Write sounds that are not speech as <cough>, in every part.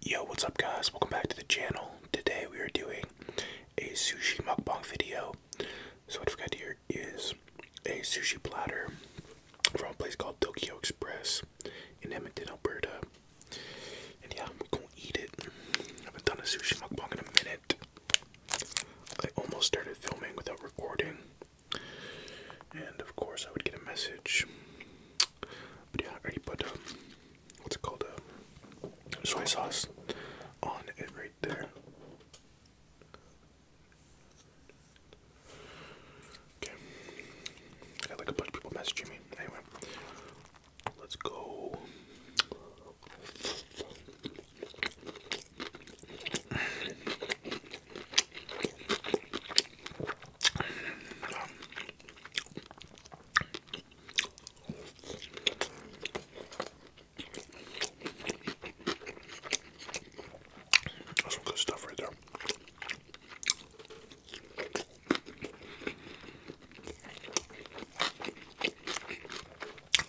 Yo, what's up guys? Welcome back to the channel. Today we are doing a sushi mukbang video. So what I've got here is a sushi platter from a place called Tokyo Express in Edmonton, Alberta. And yeah, we're gonna eat it. I haven't done a sushi mukbang in a minute. I almost started filming without recording. And of course I would get a message but yeah, I already put um, what's it called? Um, soy sauce on it right there. Okay. I got like a bunch people messaging me. Anyway, let's go. That's some good stuff right there.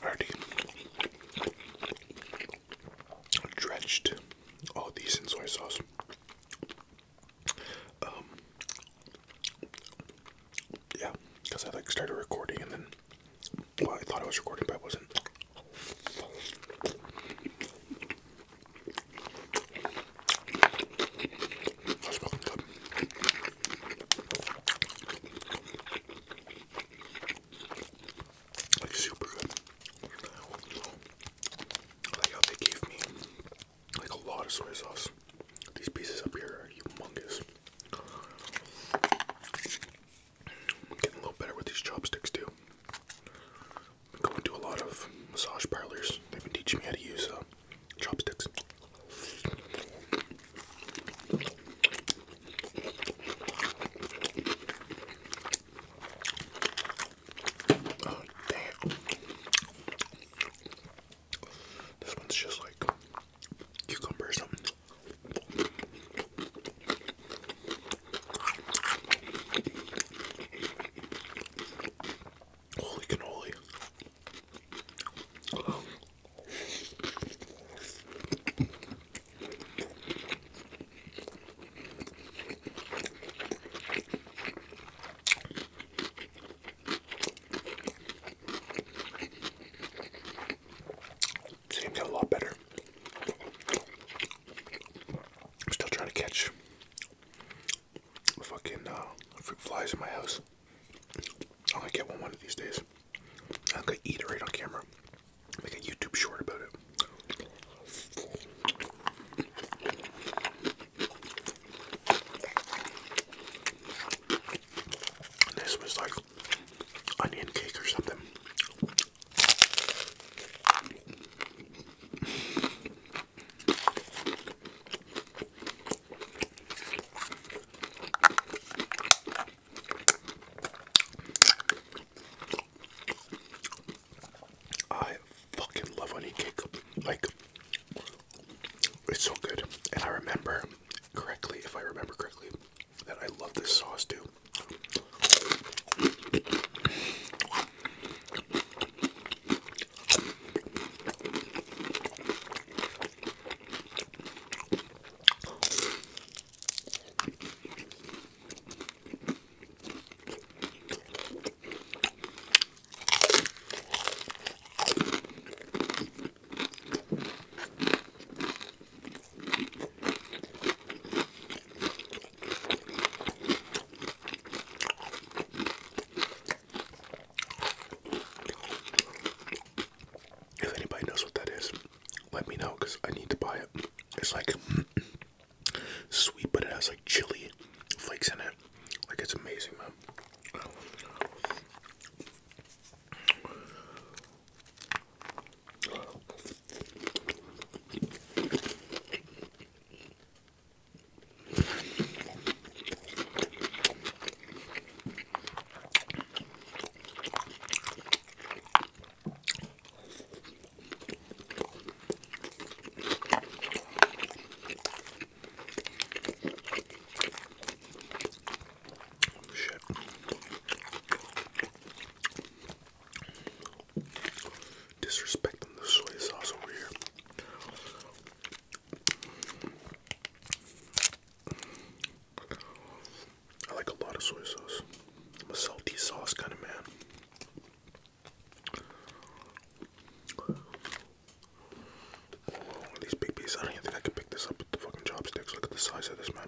Already dredged all oh, these in soy sauce. Um, yeah, because I like started recording and then, well, I thought I was recording, but I wasn't. Like super good. like how they gave me like a lot of soy sauce. These pieces up here are humongous. i getting a little better with these chopsticks too. I'm going to a lot of massage parlors. They've been teaching me how to use uh, chopsticks. Oh, damn. This one's just like cucumber or something. Holy cannoli. Seems a lot better. I'm still trying to catch fucking uh, fruit flies in my house. i only get one one of these days. I'm gonna eat it right on camera. Make a YouTube short about it. This was like onion cake or something. I fucking love onion cake. Like it's so good. And I remember correctly, if I remember correctly, that I love this sauce too. If anybody knows what that is, let me know because I need to buy it. It's like <clears throat> sweet, but it has like chili flakes in it. Like it's amazing, man. Disrespecting the soy sauce over here. I like a lot of soy sauce. I'm a salty sauce kind of man. At big piece. I don't even think I can pick this up with the fucking chopsticks. Look at the size of this man.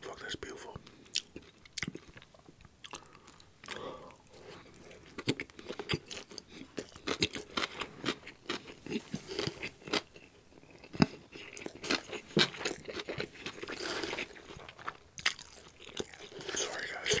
Fuck, that's beautiful. Sorry, guys.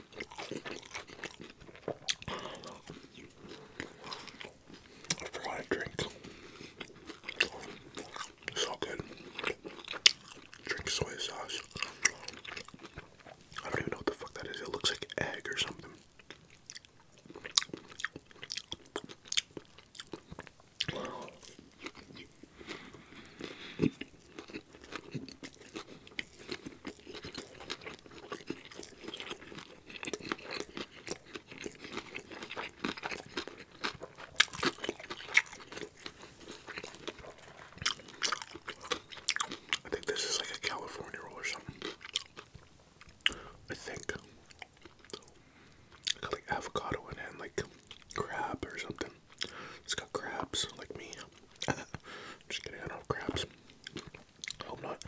I forgot drink. It's all good. Drink soy sauce. I don't even know what the fuck that is. It looks like egg or something. I think this is like a California roll or something. I think. Got like avocado in it and like crab or something. It's got crabs like me. <laughs> Just kidding, I don't crabs. Hope not.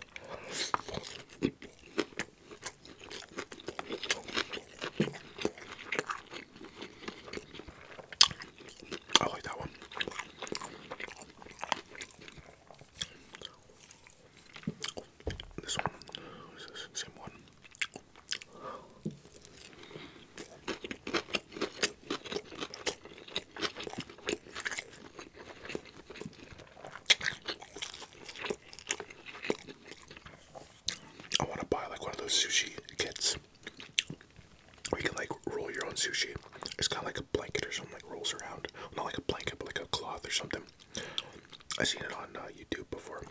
I like that one. This one, Same one. I want to buy like one of those sushi kits where you can like roll your own sushi. It's kind of like a blanket or something, like rolls around. Not like a blanket, but like a cloth or something. I've seen it on uh, YouTube before.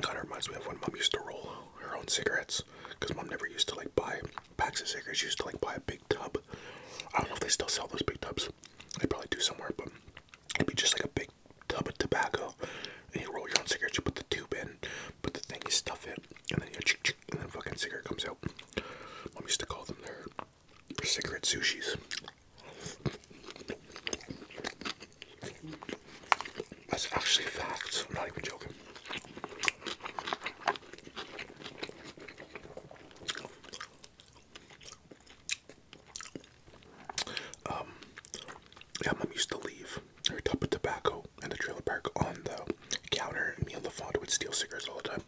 Kind of reminds me of when mom used to roll her own cigarettes because mom never used to like buy packs of cigarettes. used to like buy a big tub. I don't know if they still sell those big tubs. They probably do somewhere, but it'd be just like a big tub of tobacco. And you roll your own cigarette. You put the tube in, put the thing, stuff it, and then you ch and then fucking cigarette comes out. Mom used to call them there, their cigarette sushis. That's actually fact. I'm not even joking. Um, yeah, mom used to leave her tub of tobacco and the trailer park on the counter, and me and Lafont would steal cigarettes all the time.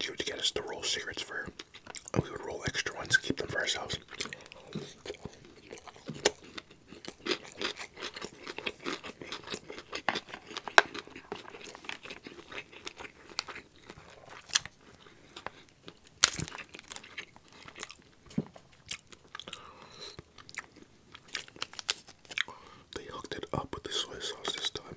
She would get us to roll cigarettes for we would roll extra ones, keep them for ourselves. They hooked it up with the soy sauce this time.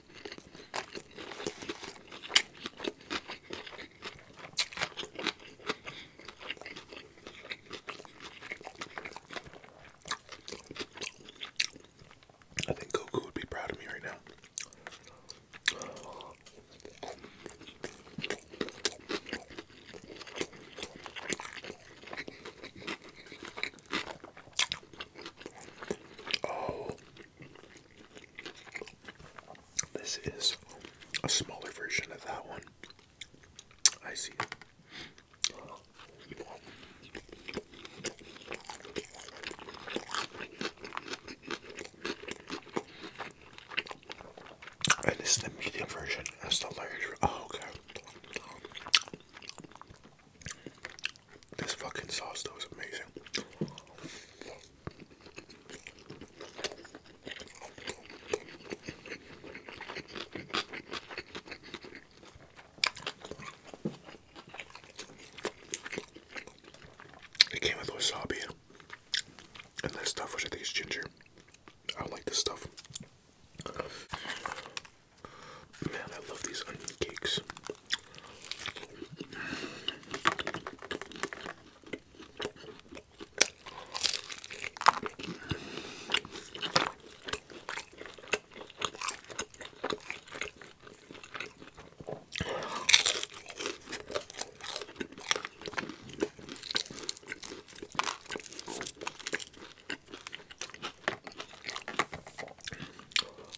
I think Goku would be proud of me right now. Oh, this is a smaller version of that one. I see it. And this is the medium version. That's the larger. Oh, okay. This fucking sauce though is amazing. It came with wasabi, and this stuff, which I think is ginger. I don't like this stuff. Man, I love these onion cakes.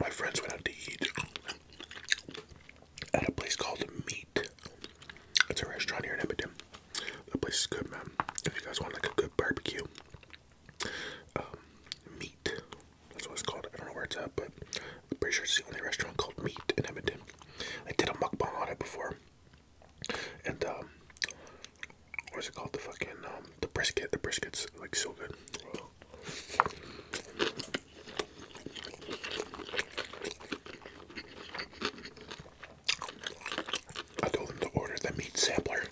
My friends went out to eat at a place called Meat. It's a restaurant here in Edmonton. The place is good, man. If you guys want like a good barbecue, um, meat. That's what it's called. I don't know where it's at, but I'm pretty sure it's the only restaurant called Meat in Edmonton. I did a mukbang on it before, and um, what's it called? The fucking um, the brisket. The brisket's like so good. I told them to order the meat sampler,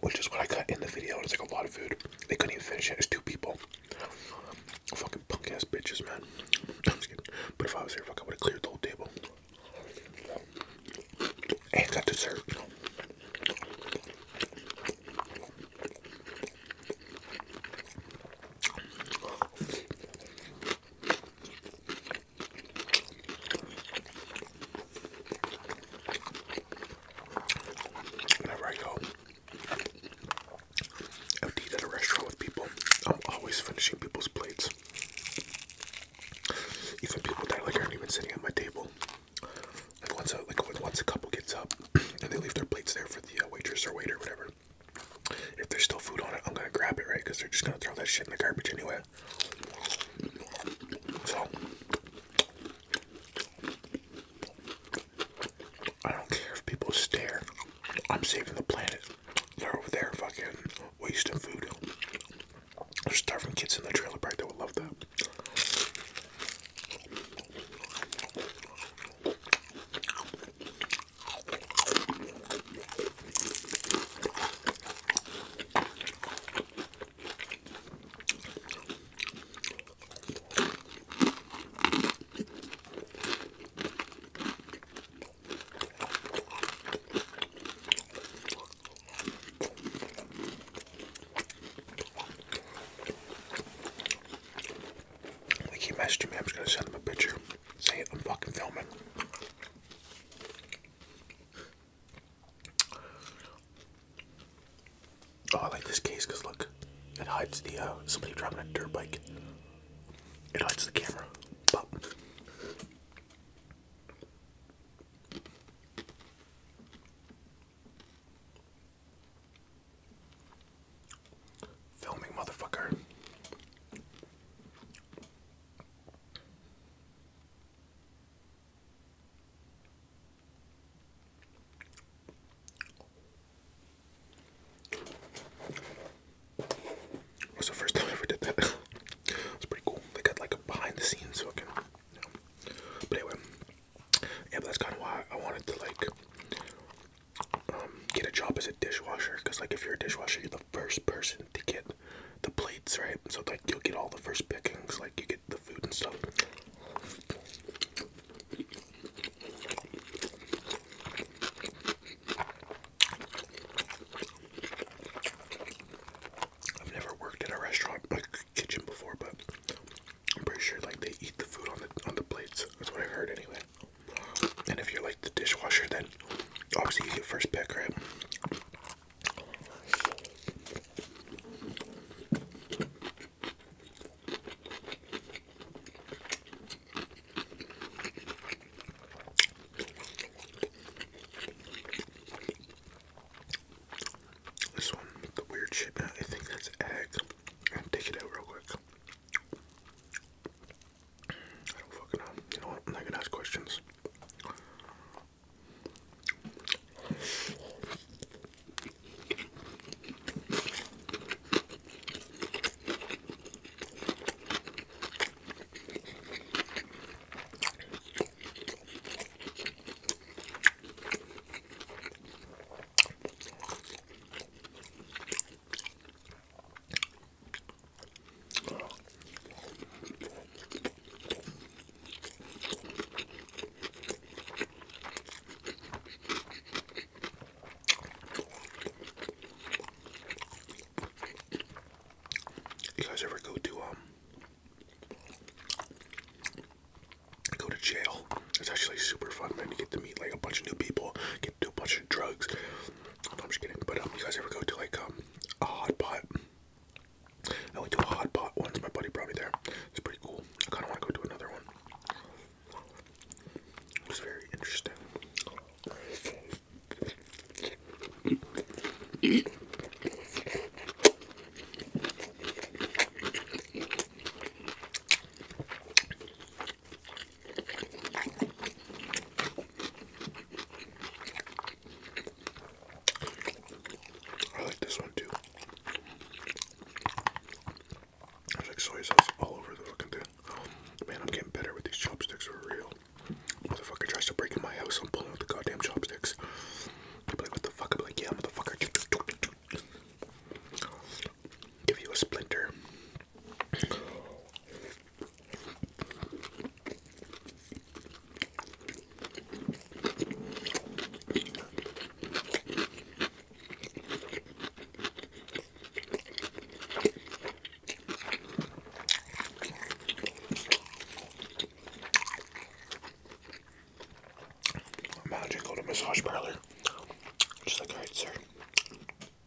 which is what I cut in the video. It's like a lot of food. They couldn't even finish it. It's two people. Fucking punk ass bitches, man. I'm just kidding. But if I was here, fuck, I would have cleared the whole table. And got dessert. Whenever I go, I've eat at a restaurant with people. I'm always finishing people's plates. Even people that like aren't even sitting at my table. Like once a like once a couple gets up <clears throat> and they leave their plates there for the uh, waitress or waiter, or whatever. If there's still food on it, I'm gonna grab it, right? Because they're just gonna throw that shit in the garbage anyway. So I don't care if people stare. I'm saving the planet. They're over there fucking wasting food. There's starving kids in the trailer park that would love that. They keep messaging me. I'm just gonna send him a picture. See, it, I'm fucking filming. Oh, I like this case because look, it hides the uh, somebody driving a dirt bike. It hides the camera. Filming, motherfucker. was the first time ever did that. <laughs> it pretty cool. They got like a behind the scenes But anyway, yeah, that's kind of why I wanted to like um, get a job as a dishwasher because like if you're a dishwasher you're the first person to get the plates right so like you'll get all the first pickings like you get the food and stuff I've never worked in a restaurant like kitchen before but I'm pretty sure like they eat the food on the on the plates that's what I heard anyway and if you're like the dishwasher, then obviously you get first pick, right? This one the weird shit, I think that's egg. i take it out real quick. I don't fucking know. You know what? I'm not gonna ask questions. You guys ever go to um go to jail? It's actually super fun, man. You get to meet like a bunch of new people, get to do a bunch of drugs, I'm just kidding. But um, you guys ever go to like um, a hot pot? I went to a hot pot once. My buddy brought me there. It's pretty cool. I kind of want to go to another one. It was very interesting. I like this one too. There's like soy sauce all over the fucking thing. Man, I'm getting better with these chopsticks for real. Motherfucker tries to break in my house, I'm pulling out the goddamn chopsticks. what the fuck? I'm like, yeah, motherfucker. Give you a splinter. Imagine going to massage parlor. Just like, alright, sir.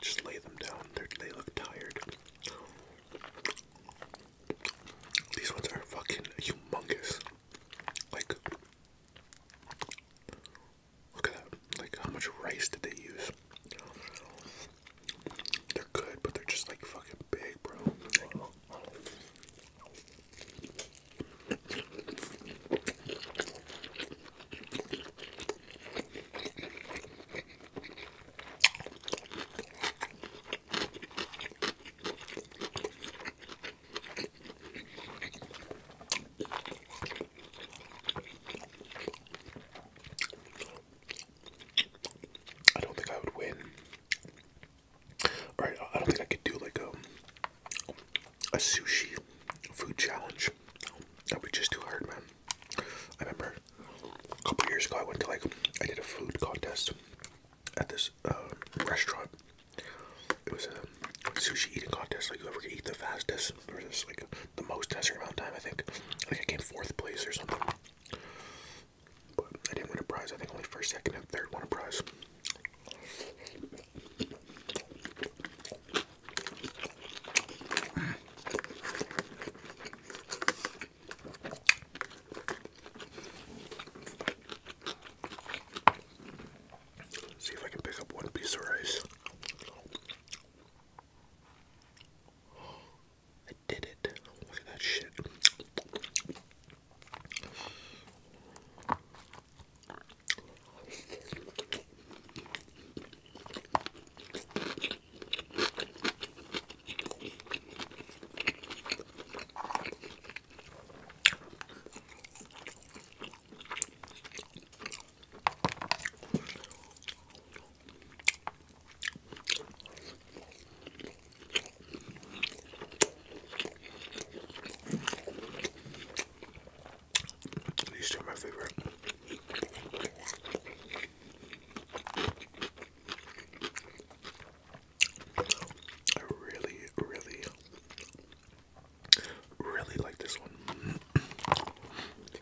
Just lay them down. they look tired. These ones are fucking humongous. Like, Look at that. Like, how much rice did they use? They're good, but they're just like fucking big, bro. I don't think I would win. Alright, I don't think I could do like a um, a sushi food challenge. That would be just too hard, man. I remember a couple years ago I went to like I did a food contest at this uh, restaurant. It was a sushi eating contest, like whoever ever eat the fastest place versus like the most certain amount of time. I think I think I came fourth place or something. But I didn't win a prize. I think only first, second, and third won a prize. See if I can pick up one piece of rice. <gasps> I did it. Look at that shit. These two are my favorite. I really, really, really like this one.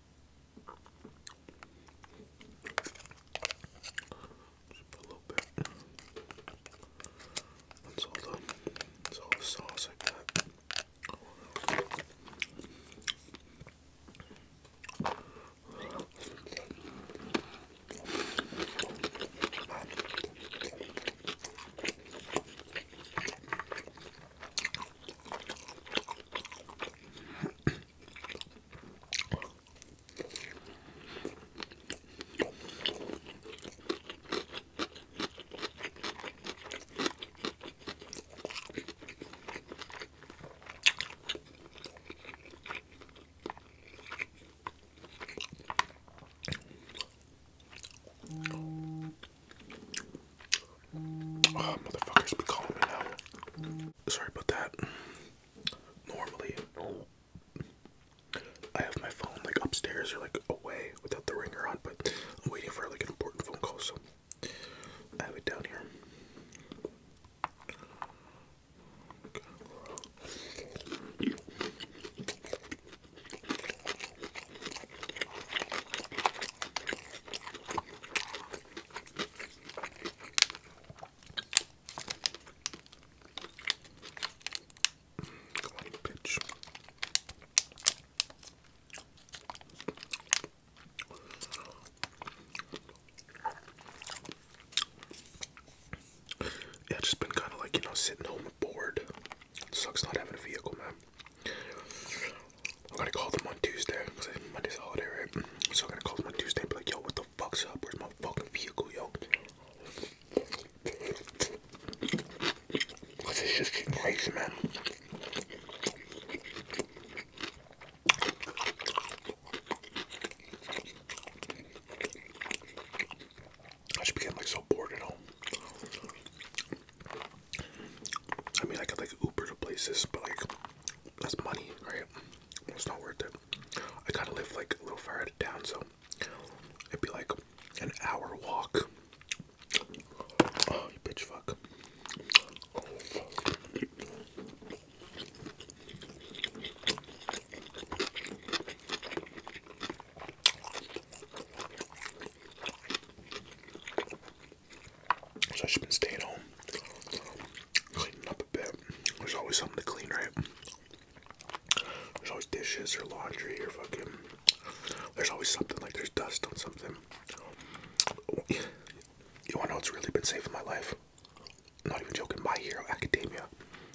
Just put a little bit. That's all the, that's all the sauce I got. Oh, motherfuckers be calling me now. Sorry about that normally I have my phone like upstairs or like away without the ringer on, but I'm waiting for like an important phone call, so I have it down here. Yeah, just been kind of like, you know, sitting home bored. sucks not having a vehicle, man. I'm gonna call them on Tuesday because Monday's holiday, right? So I'm gonna call them on Tuesday and be like, yo, what the fuck's up? Where's my fucking vehicle, yo? This is just crazy, man. I just became like so bored at home. I mean, I could like Uber to places, but like that's money, right? It's not worth it. I kind of live like a little far out of town, so it'd be like an hour walk. Oh, you bitch fuck. So I've been staying home cleaning up a bit. There's always something to clean, right? There's always dishes or laundry or fucking. There's always something like there's dust on something. You wanna know what's really been saving my life? Not even joking, My Hero Academia.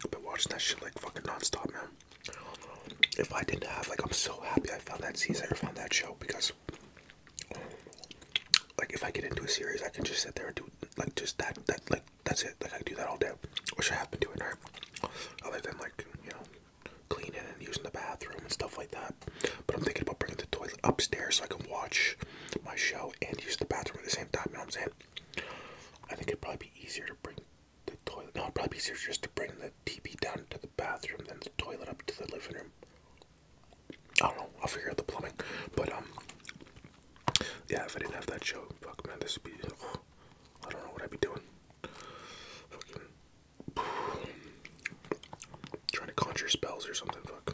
I've been watching that shit like fucking nonstop, man. If I didn't have, like, I'm so happy I found that season, I found that show because like if I get into a series, I can just sit there and do like just that. That like that's it. Like I do that all day, which I have been doing, right? Other than like you know, cleaning and using the bathroom and stuff like that. But I'm thinking about bringing the toilet upstairs so I can watch my show and use the bathroom at the same time. You know what I'm saying? I think it'd probably be easier to bring the toilet. No, it'd probably be easier just to bring the TV down to the bathroom than the toilet up to the living room. I don't know. I'll figure out the plumbing. But um, yeah. If I didn't have that show, fuck man, this would be. I don't know what I'd be doing. Fucking trying to conjure spells or something. Fuck.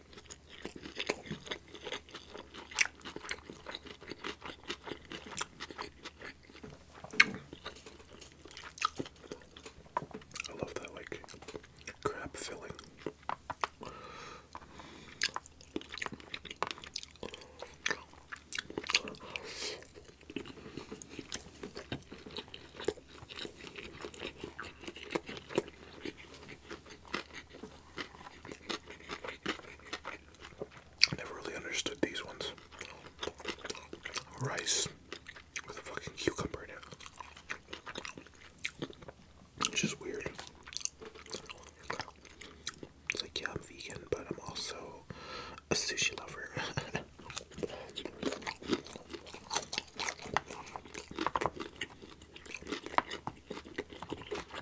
I love that like crab filling. I never really understood these ones. Rice with a fucking cucumber in it. It's just weird. It's like, yeah, I'm vegan, but I'm also a sushi lover. <laughs>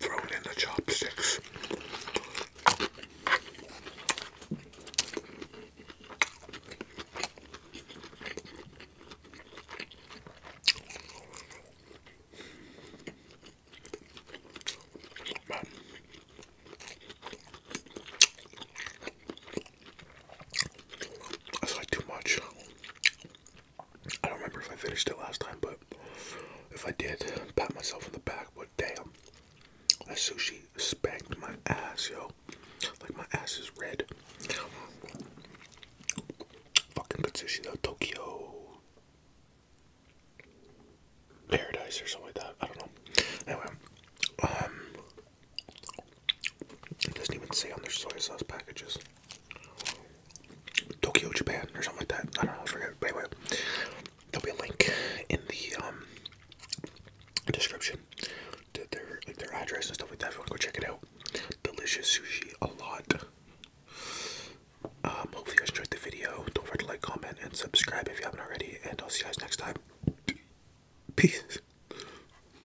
Throwing in the chopsticks. But that's like too much. I don't remember if I finished it last time, but if I did, pat myself in the back. But damn, that sushi spanked my ass, yo. Like my ass is red. Fucking good sushi though. Tokyo Paradise or something like that. I don't know. Anyway, um, it doesn't even say on their soy sauce packages. Tokyo, Japan, or something like that. I don't know, I forget. But anyway, there'll be a link in the um, description to their address and stuff like that. If you want to go check it out, delicious sushi, a lot. Um, hopefully you guys enjoyed the video. Don't forget to like, comment, and subscribe if you haven't already. And I'll see you guys next time. Peace.